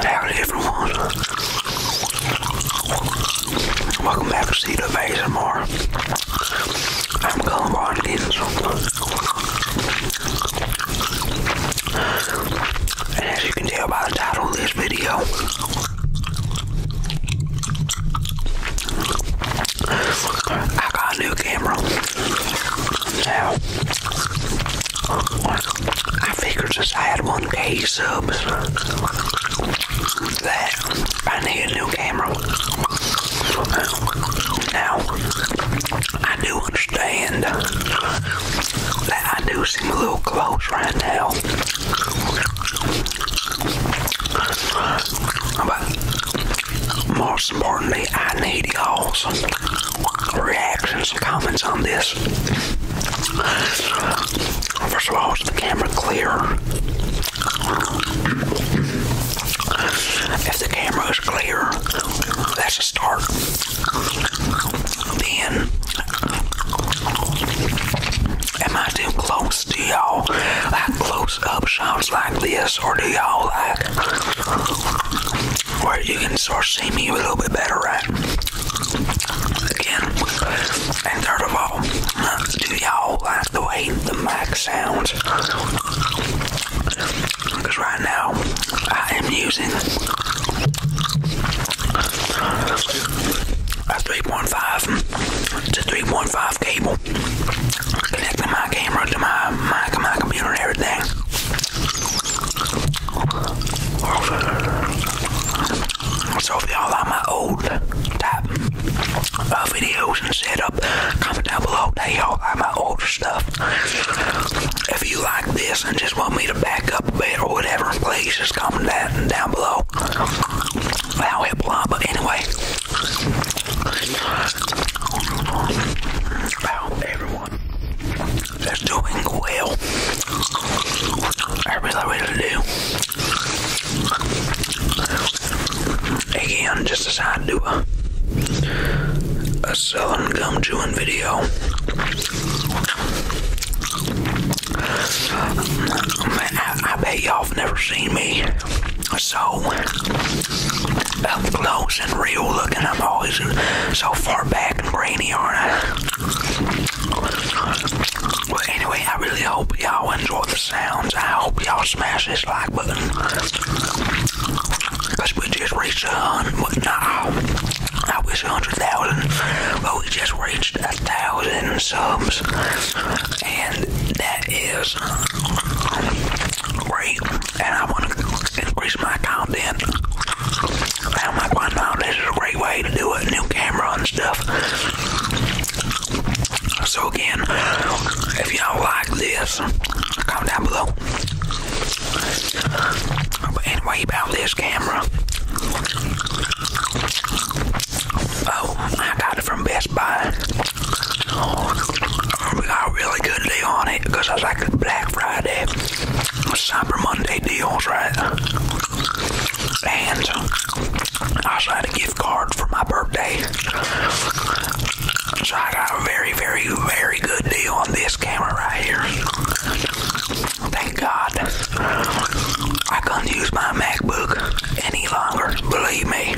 Howdy everyone. Welcome back to Seed of ASMR. I'm Colin Watkins. And as you can tell by the title of this video, I got a new camera. Now, I figured since I had 1K subs that I need a new camera. Now, I do understand that I do seem a little close right now. But most importantly, I need y'all's reactions and comments on this. First of all, is the camera clear? If the camera is clear, that's a start then am I too close? to y'all like close up shots like this, or do y'all like where you can sort of see me a little bit better, right? Again, and third of all, do y'all like the way the mic sounds? Because right now I am using a 3.5 to 3.5 cable connecting my camera to my mic and my computer and everything. So if y'all like my old type of videos and setup, comment down below that y'all like my older stuff. If you like this and just want me to back up a bit or whatever, please just comment that down below. i hit blah, but anyway. I hope everyone is doing well. Everything ready to do. Again, just decided to do a, a southern gum chewing video. Man, I, bet y'all have never seen me so up close and real looking. I'm always so far back and brainy, aren't I? But anyway, I really hope y'all enjoy the sounds. I hope y'all smash this like button. we just reached a hundred, but I wish 100,000, but we just reached a thousand subs, and that is great. And I want to increase my content. I'm like, why This is a great way to do it. New camera and stuff. So again, if y'all like this, comment down below anyway, about this camera. Oh, I got it from Best Buy. We got a really good deal on it because it's like a Black Friday, Cyber Monday deals, right? And I also a gift card for my birthday. So I got a very, very, very good deal on this camera right here. Thank God. I couldn't use my MacBook any longer, believe me.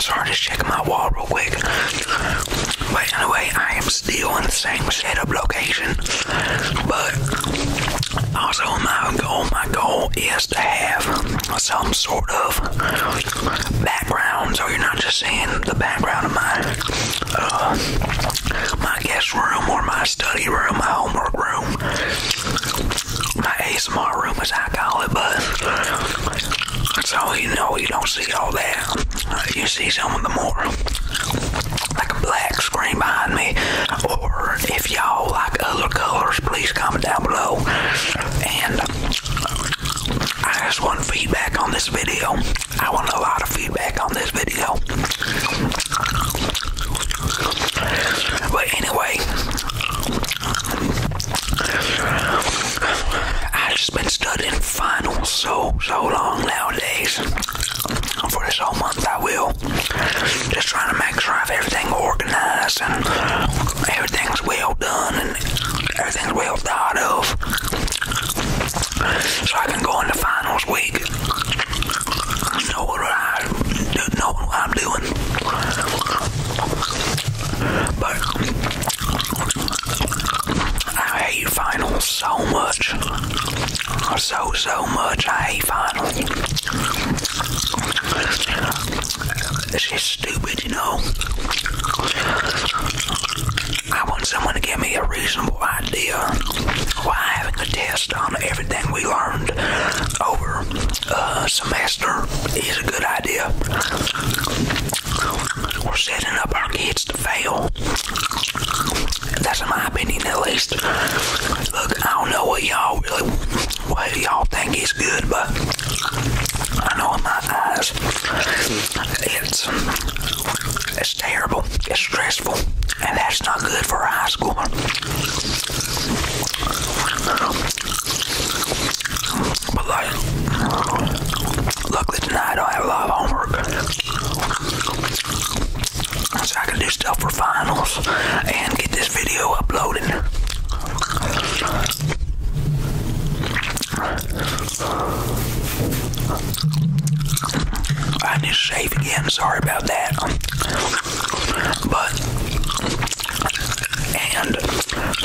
Sorry, just checking my wall real quick. But anyway, I am still in the same setup location, but also, my goal, my goal is to have some sort of background, so you're not just seeing the background of my uh, my guest room or my study room, my homework room, my ASMR room, as I call it. But so you know, you don't see all that. You see some of the more like a black screen behind me, or if if y'all like other colors, please comment down below. And I just want feedback on this video. I want a lot of feedback on this video. But anyway, I've just been studying finals so so long nowadays for this whole month month I will. Just trying to make sure I have everything organized and everything's well done and everything's well thought of. So I can go into finals week. Know what I do, know what I'm doing. But I hate finals so much. So so much I hate finals. She's stupid, you know. I want someone to give me a reasonable idea why having a test on everything we learned over a semester is a good idea. We're setting up our kids to fail. That's my opinion, at least. Look, I don't know what y'all really, what y'all think is good, but I know in my eyes, it's it's terrible. It's stressful, and that's not good for high school. But luckily tonight I don't have a lot of homework so I can do stuff for finals and get this video uploaded. I need to shave again, sorry about that. But, and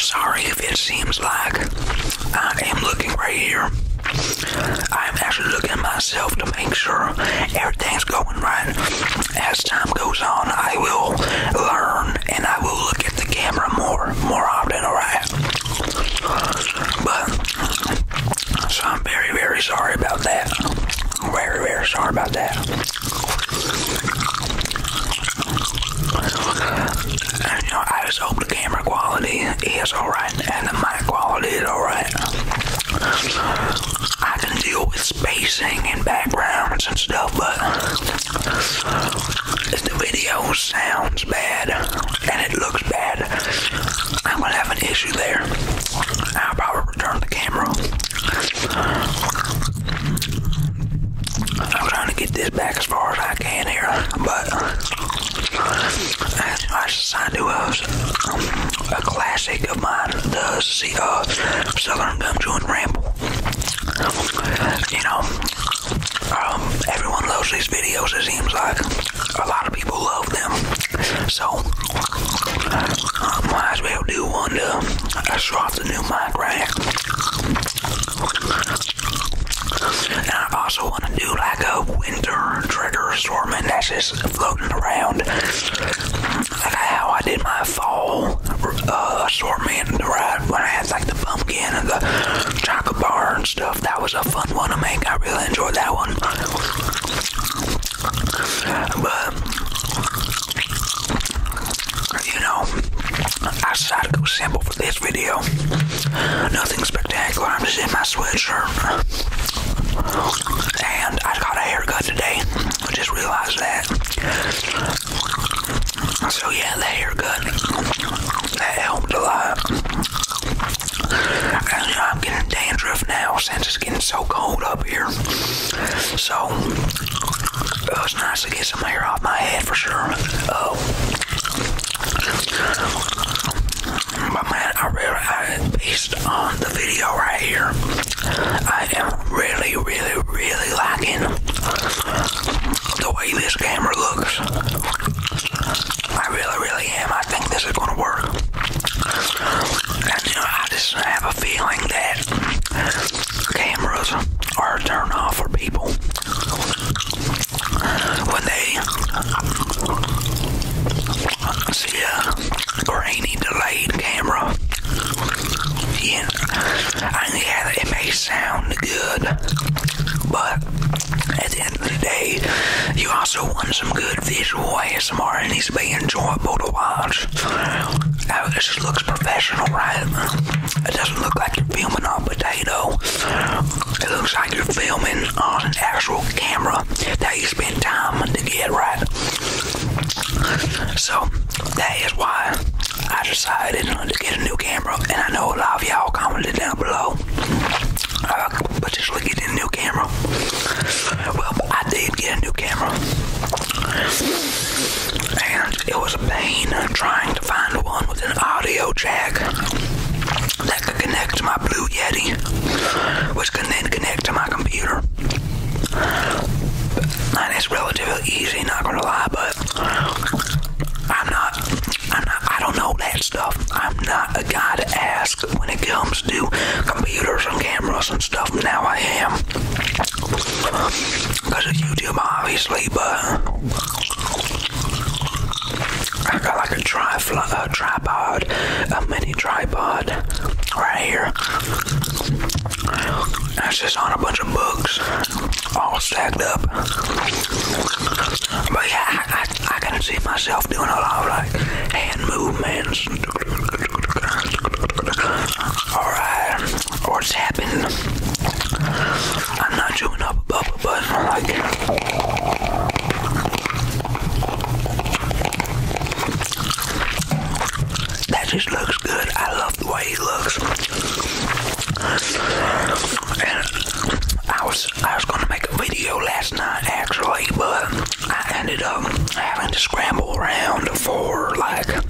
sorry if it seems like I am looking right here. I'm actually looking at myself to make sure everything's going right. As time goes on, I will learn and I will look at the camera more, more often, alright? But, so I'm very, very sorry about that. Very, very sorry about that. And, you know, I just hope the camera quality is alright and the mic quality is alright. I can deal with spacing and backgrounds and stuff, but if the video sounds bad and it looks bad, I'm gonna have an issue there. I'll probably return the camera. I'm trying to get this back as far as I can here, but I, I decided to. Uh, a classic of mine, the uh, Southern Gum Joint Ramble. You know, um, everyone loves these videos, it seems like. A lot of people love them. So, i um, might as well do one to uh, off the new mic, right? And I also want to do like a winter trigger assortment. That's just floating around. Like how I did my fall uh, assortment ride when I had like the pumpkin and the chocolate bar and stuff. That was a fun one to make. I really enjoyed that one. But you know, I decided to go simple for this video. Nothing spectacular. I'm just in my sweatshirt and I got a haircut today. I just realized that. So yeah, the haircut that helped a lot. And, I'm getting dandruff now since it's getting so cold up here. So uh, it was nice to get some hair off my head for sure. Uh, my man, I really, I, based on the video right here, I am really, really, really liking the way this camera looks. I really, really am. I think this is going to work. I just have a feeling that cameras are a turn off for people when they see a grainy delayed camera. Yeah, I mean, it may sound good, but at the end of the day, you also want some good visual ASMR and needs to be enjoyable to watch. Now, this looks professional, right? It doesn't look like you're filming on potato. It looks like you're filming on an actual camera that you spent time to get right. So that is why I decided to get a new camera, and I know a lot of y'all commented down below. Uh, but just look at a new camera. Well, I did get a new camera, and it was a pain trying to find one with an audio jack that connect to my Blue Yeti, which can then connect to my computer. And it's relatively easy, not gonna lie, but I'm not, I'm not, I don't know that stuff. I'm not a guy to ask when it comes to computers and cameras and stuff. Now I am. Because of YouTube, obviously, but I got like a uh, tripod, a mini tripod right here. That's just on a bunch of books, all stacked up. But yeah, I, I, can see myself doing a lot of like hand movements. Alright, or tapping. I'm not chewing up a bubble, but I like it. That just looks good. I love the way it looks. And I was I was gonna make a video last night actually, but I ended up having to scramble around for like an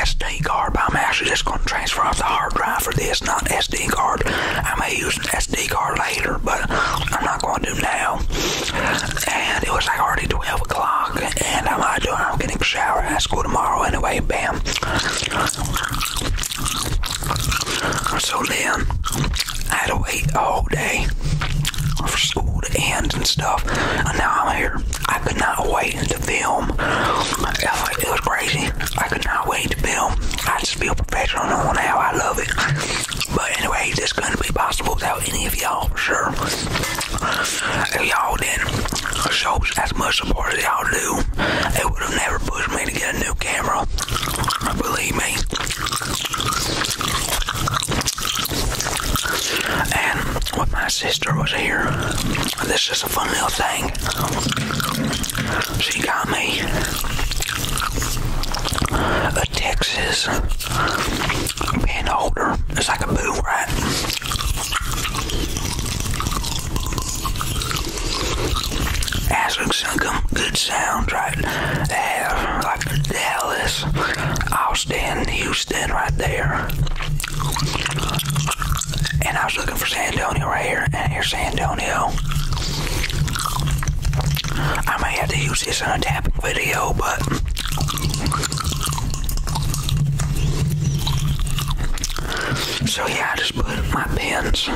SD card. But I'm actually just gonna transfer off the hard drive for this it's not SD card. I may use an SD card later, but I'm not going to now. And it was like already 12 o'clock, and I'm not doing. I'm getting a shower at school tomorrow anyway. Bam. So then, I had to wait all day for school to end and stuff. And now I'm here. I could not wait to film. It was crazy. I cannot wait to film. I just feel professional on how I love it. But anyway, this couldn't be possible without any of y'all for sure. If y'all didn't show as much support as y'all do, it would have never pushed me to get a new camera. Believe me. And when my sister was here, this a fun little thing she got me a Texas pen holder it's like a boom right Asling's some good sounds right there like Dallas Austin Houston right there and I was looking for San right here, and here's San Antonio. I may have to use this on a tapping video, but so yeah, I just put my pins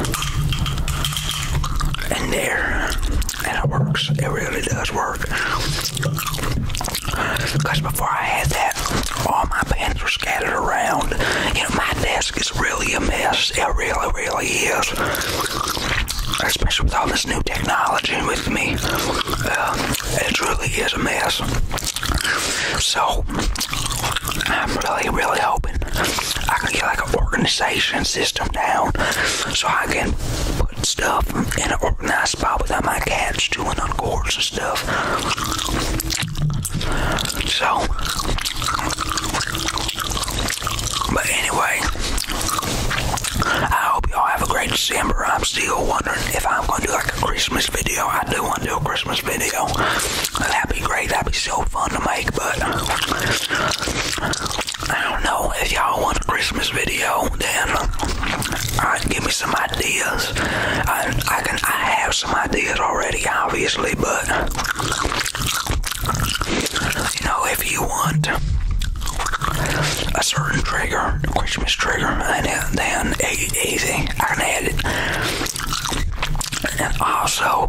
in there, and it works. It really does work. Because before I had that, all my pens were scattered around. You know, my desk is really a mess. It really, really is. Especially with all this new technology with me. Uh, it really is a mess. So, I'm really, really hoping I can get like an organization system down so I can put stuff in an organized that's probably my cats chewing on cords and stuff. So, but anyway, I hope y'all have a great December. I'm still wondering if I'm going to do like a Christmas video. I do want to do a Christmas video. That'd be great. That'd be so fun to make, but I don't know. If y'all want a Christmas video, then alright, uh, give me some ideas ideas. I, can I have some ideas already, obviously, but you know, if you want a certain trigger, a Christmas trigger, and then, then easy, I can add it. And also,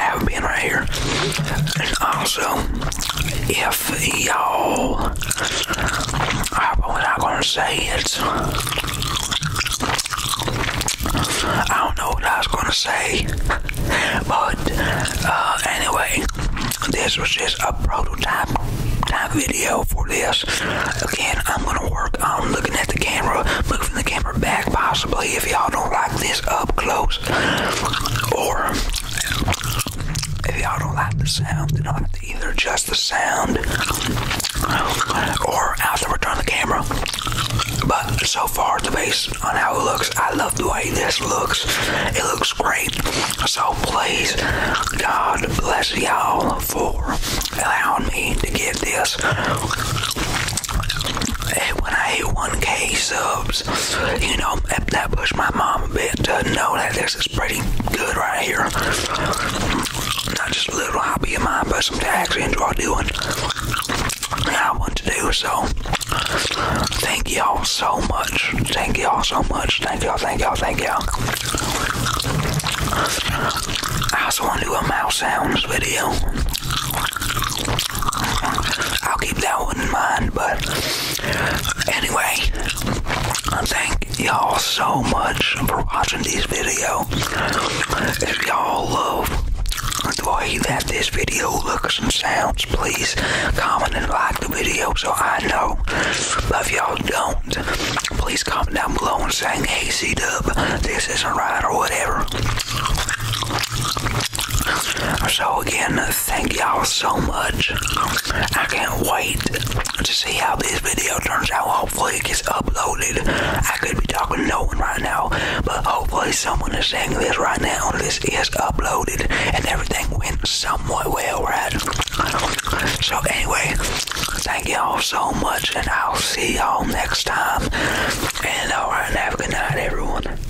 have been right here. And also, if y'all I'm not gonna say it. I don't know what I was gonna say, but uh, anyway, this was just a prototype type video for this. Again, I'm gonna work on looking at the camera, moving the camera back possibly if y'all don't like this up close or if y'all don't like the sound, then I'll have to either adjust the sound or I'll have to return the camera. But so far, the based on how it looks, I love the way this looks. It looks great. So please, God bless y'all for allowing me to get this. And when I hit 1K subs, you know, that, that pushed my mom a bit to know that this is pretty good right here. Not just a little hobby of mine, but something I actually enjoy doing. And I want to do so. Thank y'all so much. Thank y'all so much. Thank y'all, thank y'all, thank y'all. I also want to do a mouse sound video. I'll keep that one in mind. But anyway, thank y'all so much for watching this video. If y'all love the way that this video looks and sounds, please comment and like the video so I know. if y'all don't, please comment down below and saying, hey, C-Dub, this isn't right or whatever. So again, thank y'all so much. I can't wait to see how this video turns out. Hopefully, it gets uploaded. I could be talking to no one right now, but hopefully, someone is saying this right now. This is uploaded, and everything went somewhat well, right? So, anyway, thank y'all so much, and I'll see y'all next time. And alright, have a good night, everyone.